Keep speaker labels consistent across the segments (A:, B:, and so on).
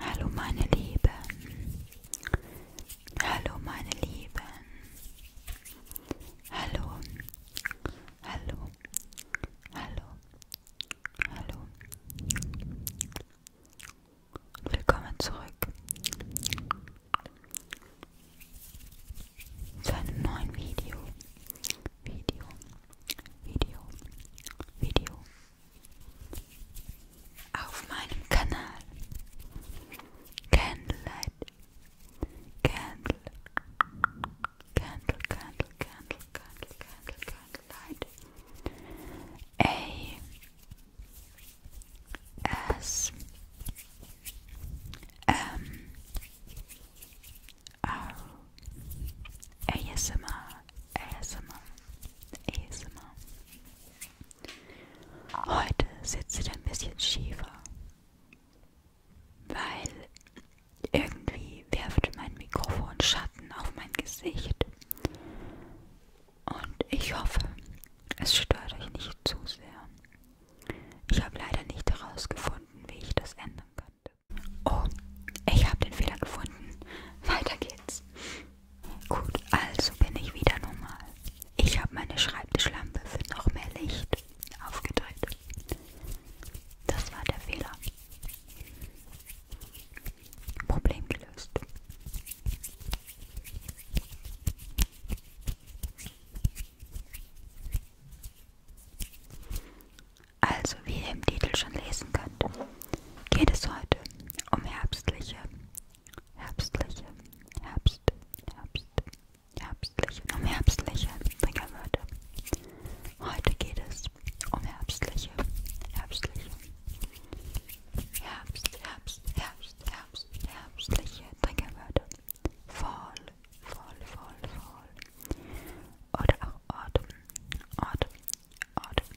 A: Hallo meine Lieben. Hallo meine Lieben. Hallo. Hallo. Hallo. Hallo. Willkommen zurück zu einem neuen Video video, Video, Video auf meinem Kanal Candlelight, Candle, Candle, Candle, Candle, Candle, Candlelight. A S M Ah. ASMR, ASMR, ASMR. Heute sitzt sie ein bisschen schiefer, weil irgendwie werft mein Mikrofon Schatten auf mein Gesicht. Und ich hoffe, es stört euch nicht zu sehr. Ich habe leider nicht herausgefunden, wie ich das ändern könnte. Oh, ich habe den Fehler gefunden. Weiter geht's. Gut, also bin ich wieder normal. Ich habe meine Schreibtischlampe für noch mehr Licht aufgedreht. Das war der Fehler. Problem gelöst. Also, wie ihr im Titel schon lesen könnt, geht es heute um herbstliche, herbstliche, Herbst, Herbst, herbstliche, um herbstliche Triggerwörter. Heute geht es um herbstliche, herbstliche, Herbst, Herbst, Herbst, Herbst, herbstliche Triggerwörter. Fall, voll, voll, voll. Oder auch Atem, Atem, Atem,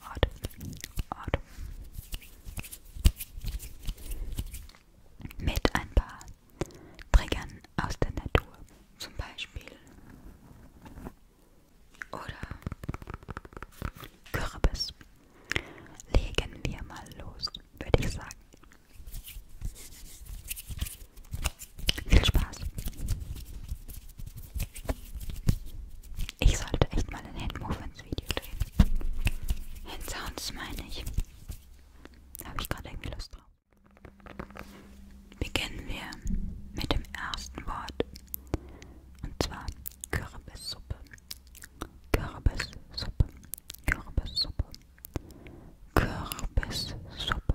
A: Atem, Atem. Mit ein paar Triggern aus der Natur, zum Beispiel. Oder Kürbis. Legen wir mal los, würde ich sagen. Viel Spaß. Ich sollte echt mal ein Handmovements Video drehen. Handsounds meine ich. Da habe ich gerade irgendwie Lust drauf. Beginnen wir mit dem ersten Wort. Und zwar Kürbissuppe. Kürbissuppe. Kürbissuppe. Kürbissuppe.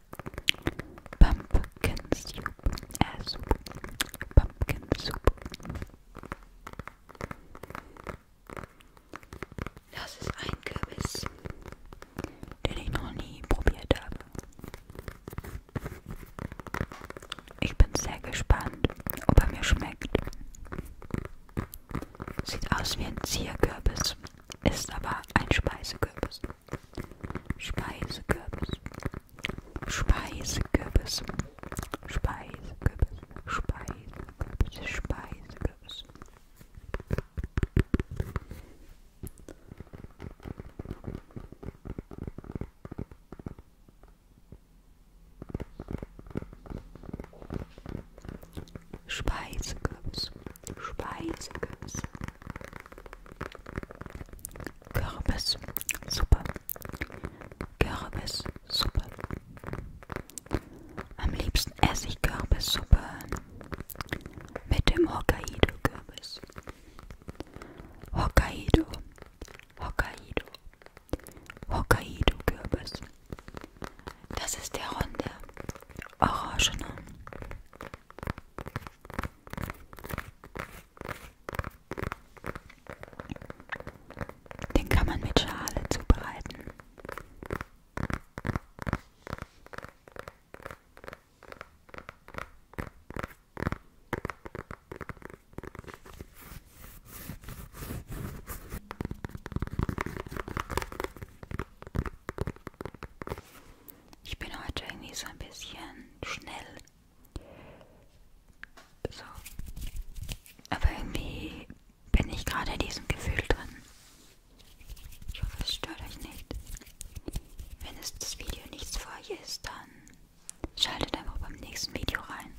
A: Pumpkin Soup. Äh, Soup. Pumpkin Soup. Das ist ein Kürbis, den ich noch nie probiert habe. Ich bin sehr gespannt, ob er mir schmeckt. Sieht aus wie ein Zierkürbis, ist aber ein Speisekürbis. Speisekürbis, Speisekürbis, Speisekürbis, Speisekürbis, Speisekürbis. Speisekürbis. Speiseküsse. Kürbis, Suppe. Kürbis, Suppe. Am liebsten esse ich Kürbissuppe mit dem Hokkaido-Kürbis. Hokkaido, Hokkaido, Hokkaido-Kürbis. Das ist der runde, orangene. Den kann man mit Schale zubereiten. Ich bin heute irgendwie so ein bisschen schnell. So. Aber irgendwie bin ich gerade in diesem Gefühl drin. Ich hoffe, es stört euch nicht. Wenn es das Video nichts für euch ist, dann schaltet einfach beim nächsten Video rein.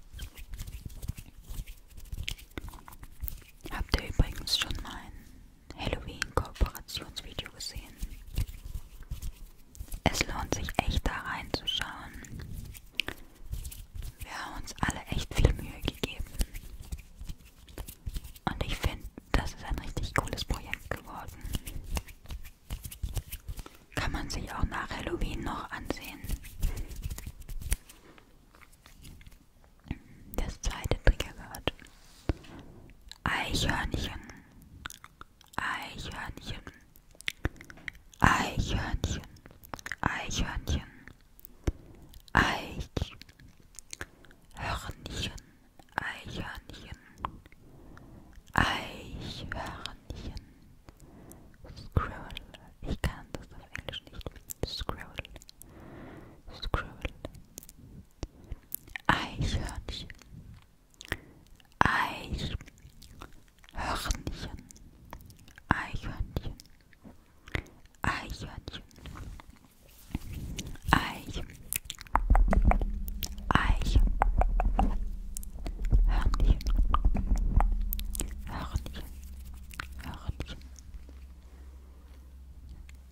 A: Habt ihr übrigens schon mein Halloween-Kooperationsvideo gesehen. Es lohnt sich echt da reinzuschauen. Wir haben uns alle echt viel Mühe gegeben. Und ich finde, das ist ein richtig cooles Projekt geworden. Kann man sich auch nach Halloween noch ansehen. Das zweite Triggerwort. Eichhörnchen, Eichhörnchen, Eichhörnchen, Eichhörnchen, Eichhörnchen, Eichhörnchen, Eichhörnchen, Eichhörnchen, Squirrel, ich kann das auf Englisch nicht, Squirrel, Squirrel, Eichhörnchen, Eichhörnchen, Eichhörnchen, Eichhörnchen, Eich, Eich, Hörnchen, Hörnchen, Hörnchen,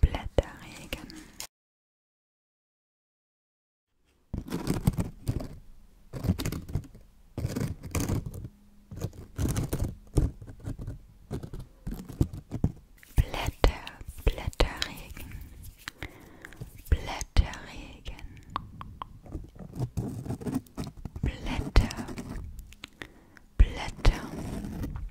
A: Blätterregen. Blätter, Blätterregen, Blätterregen, Blätter, Blätter,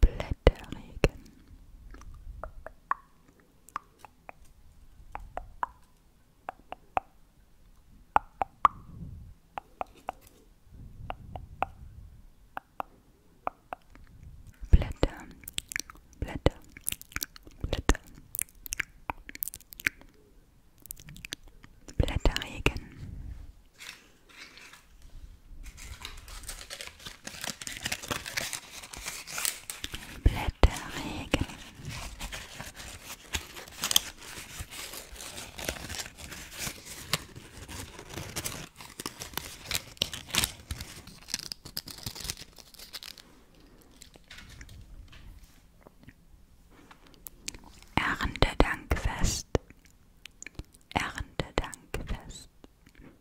A: Blätterregen. Blätter, Blätter, Blätter. Blätterregen. Blätterregen. Erntedankfest. Erntedankfest.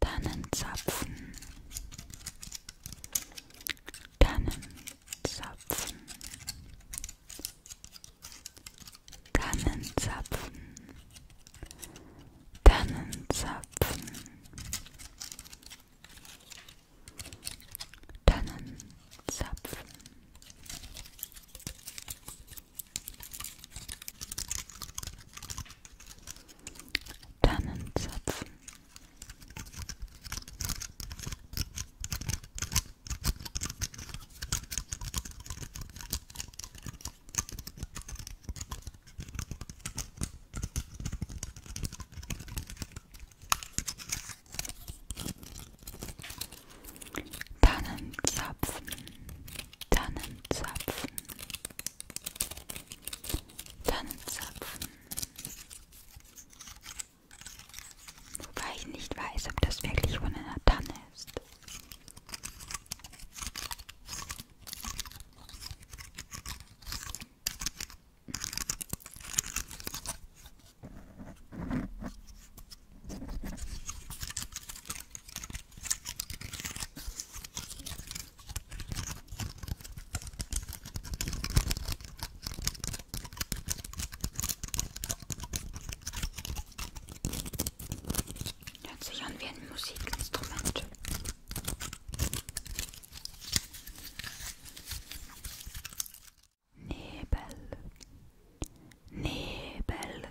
A: Tannenzapfen, Tannenzapfen, Tannenzapfen, Tannenzapfen, Tannenzapfen. Tannenzapfen. Tannenzapfen Tannenzapfen, Tannenzapfen. Wobei ich nicht weiß, ob das wirklich von einer Tanne ist. Hört sich an wie ein Musikinstrument. Nebel, Nebel,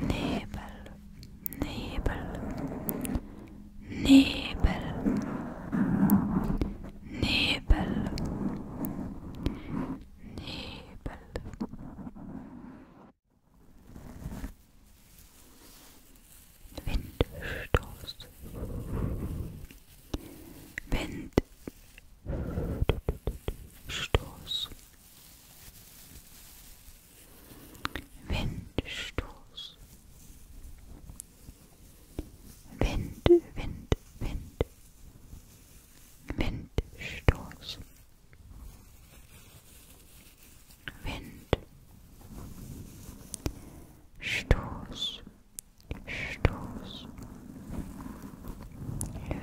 A: Nebel, Nebel, Nebel, Nebel, Nebel. Windstoß. Windstoß. Windstoß. Wind, Wind, Wind. Windstoß. Wind. Stoß. Stoß.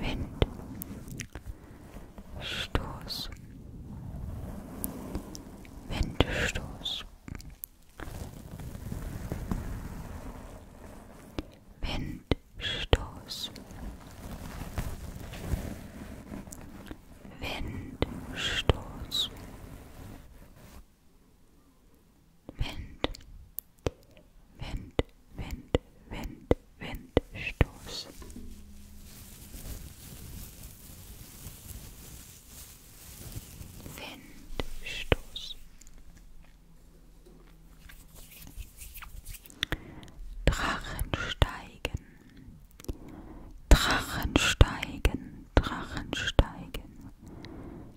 A: Wind. Stoß, Windstoß, Windstoß, Windstoß, Wind, Wind, Wind, Wind, Windstoß. Windstoß. Drachensteigen. Drachensteigen, Drachensteigen,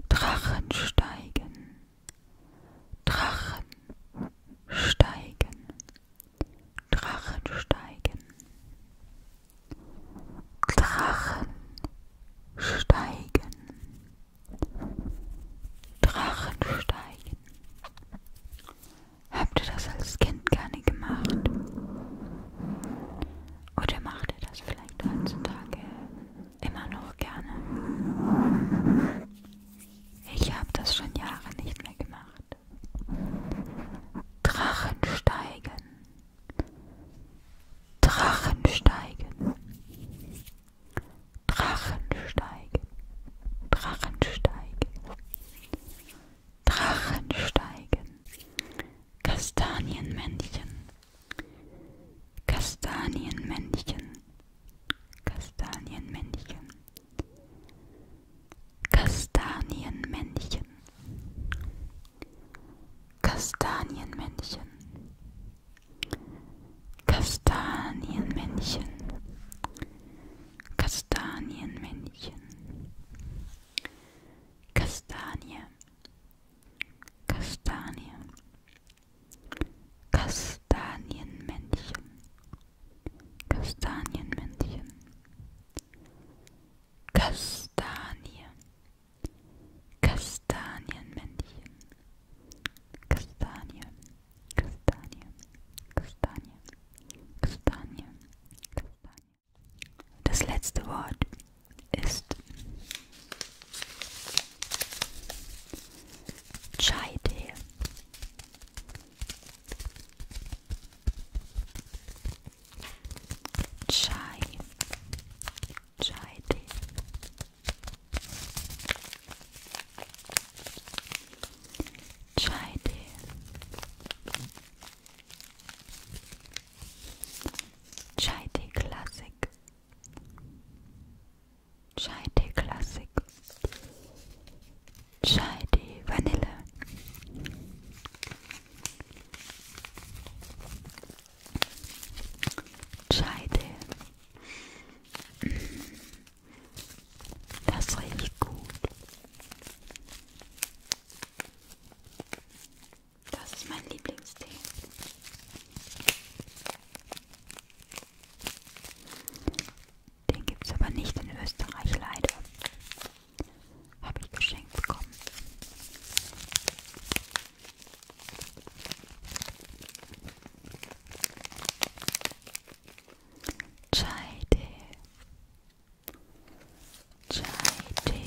A: Drachensteigen, Drachensteigen, Drachen steigen. Drachen steigen. Drachen steigen. Habt ihr das als Kind gerne gemacht? Oder macht ihr das vielleicht heutzutage immer noch gerne? Ich habe das schon Jahre nicht mehr gemacht gemacht. Drachensteigen. Drachensteigen. Drachensteigen. Drachensteigen. Drachensteigen. Kastanienmännchen. Kastanienmännchen. Kastanienmännchen. Kastanienmännchen. Kastanienmännchen. Kastanienmännchen. Kastanienmännchen. Kastanie. Kastanie. Kastanienmännchen. Kastanienmännchen, Kastanie, Kastanienmännchen, Kastanie, Kastanie, Kastanie, Kastanie, Kastanie. Das letzte Wort ist Chai-Tee. Chai, chai tea. Chai tea. Chai tea classic. Chai tea classic. Chai-Tee Vanille. Chai-Tee. Das riecht gut. Das ist mein Lieblingstee. Den gibt es aber nicht in Österreich, leider. Habe ich geschenkt bekommen. Chai Tee. Chai Tee.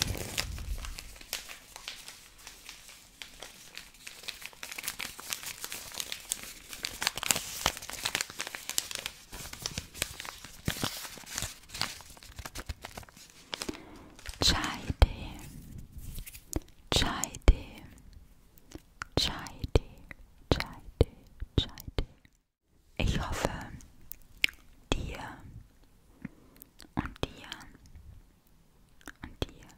A: Chai Tee, Chai Tee, Chai Tee, Chai Tee, Chai Tee. Ich hoffe, dir und dir und dir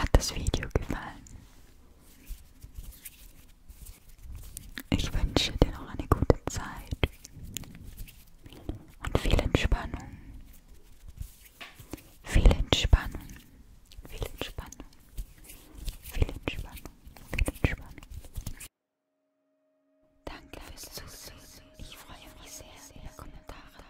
A: hat das Video gefallen. Ich wünsche dir noch eine gute Zeit und viel Entspannung. Viel Entspannung. Viel Entspannung. Viel Entspannung. Viel Entspannung. Danke fürs Zusehen. Ich freue mich sehr über Kommentare.